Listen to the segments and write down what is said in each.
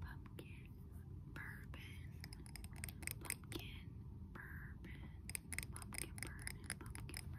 pumpkin bourbon, pumpkin bourbon, pumpkin bourbon, pumpkin bourbon.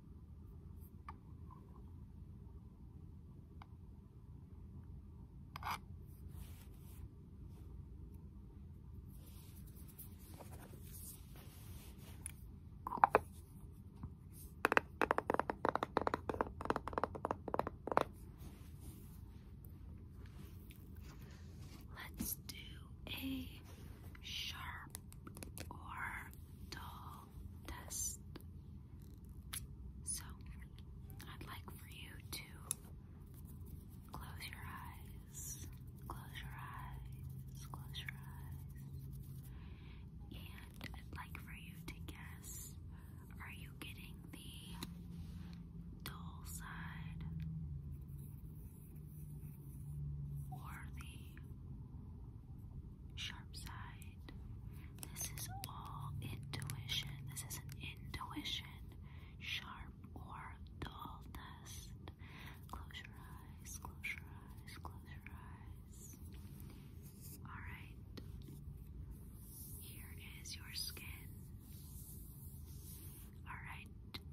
Let's do a sharp orbital test. So, I'd like for you to close your eyes, close your eyes, close your eyes, and I'd like for you to guess are you getting the dull side or the sharp side. This is all intuition. This is an intuition, sharp or dull test. Close your eyes, close your eyes, close your eyes. Alright, here is your skin. Alright,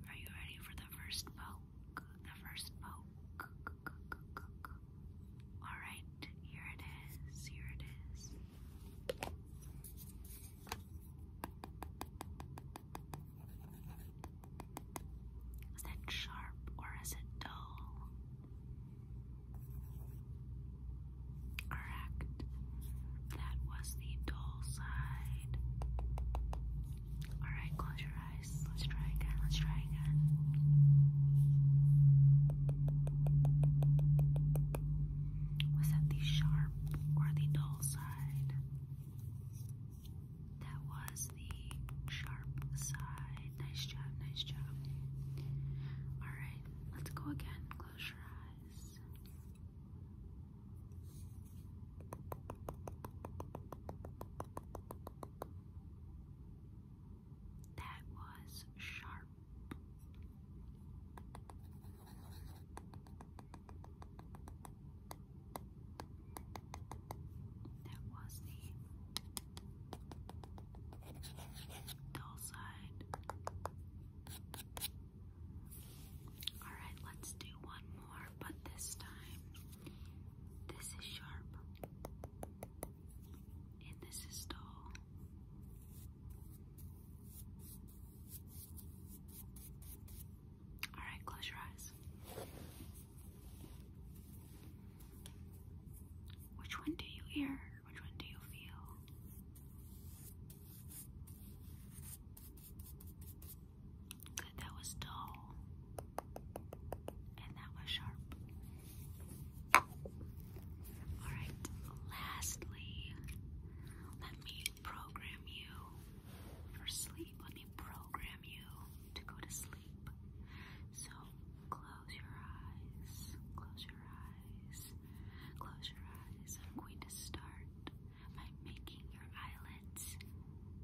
are you ready for the first bow? poke, the first poke. Alright, here it is, here it is. Is that sharp or is it dull? Correct. That was the dull side. Alright, close your eyes. Let's try again. Let's try again. Was that the sharp or the dull side? That was the sharp side. Nice job, nice job. Alright, let's go again. Close your eyes. That was sharp. That was the dull side. Alright, let's do one more, but this time this is sharp and this is dull. Alright, close your eyes. Which one do you hear? Which one do you feel? that was dull. And that was sharp. Alright, lastly, let me program you for sleep. Let me program you to go to sleep. So close your eyes, close your eyes, close your eyes. I'm going to start by making your eyelids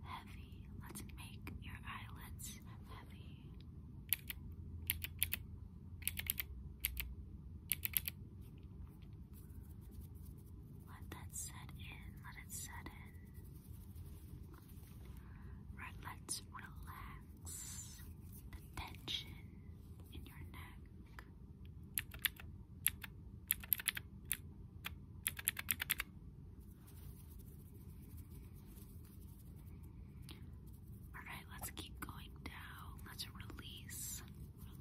heavy. Let's make your eyelids heavy. Let that set in, let it set in. Right, let's relax the tension in your neck. Relax. Alright, let's keep going down. Let's release,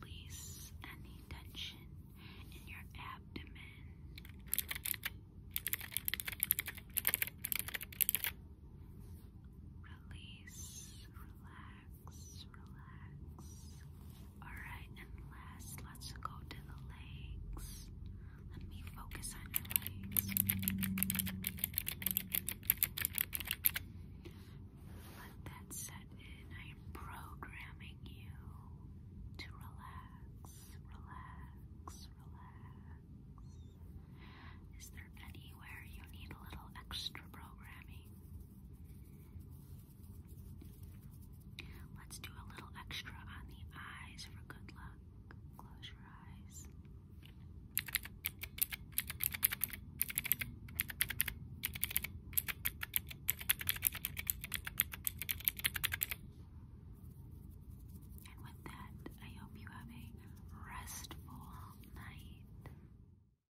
release any tension in your abdomen. Release, relax relax, relax. Alright, and last, let's go to the legs. Let me focus on your legs. Let that set in. I am programming you to relax, relax, relax. Is there anywhere you need a little extra programming? Let's do a little extra on the eyes for good luck. Close your eyes. And with that, I hope you have a restful night.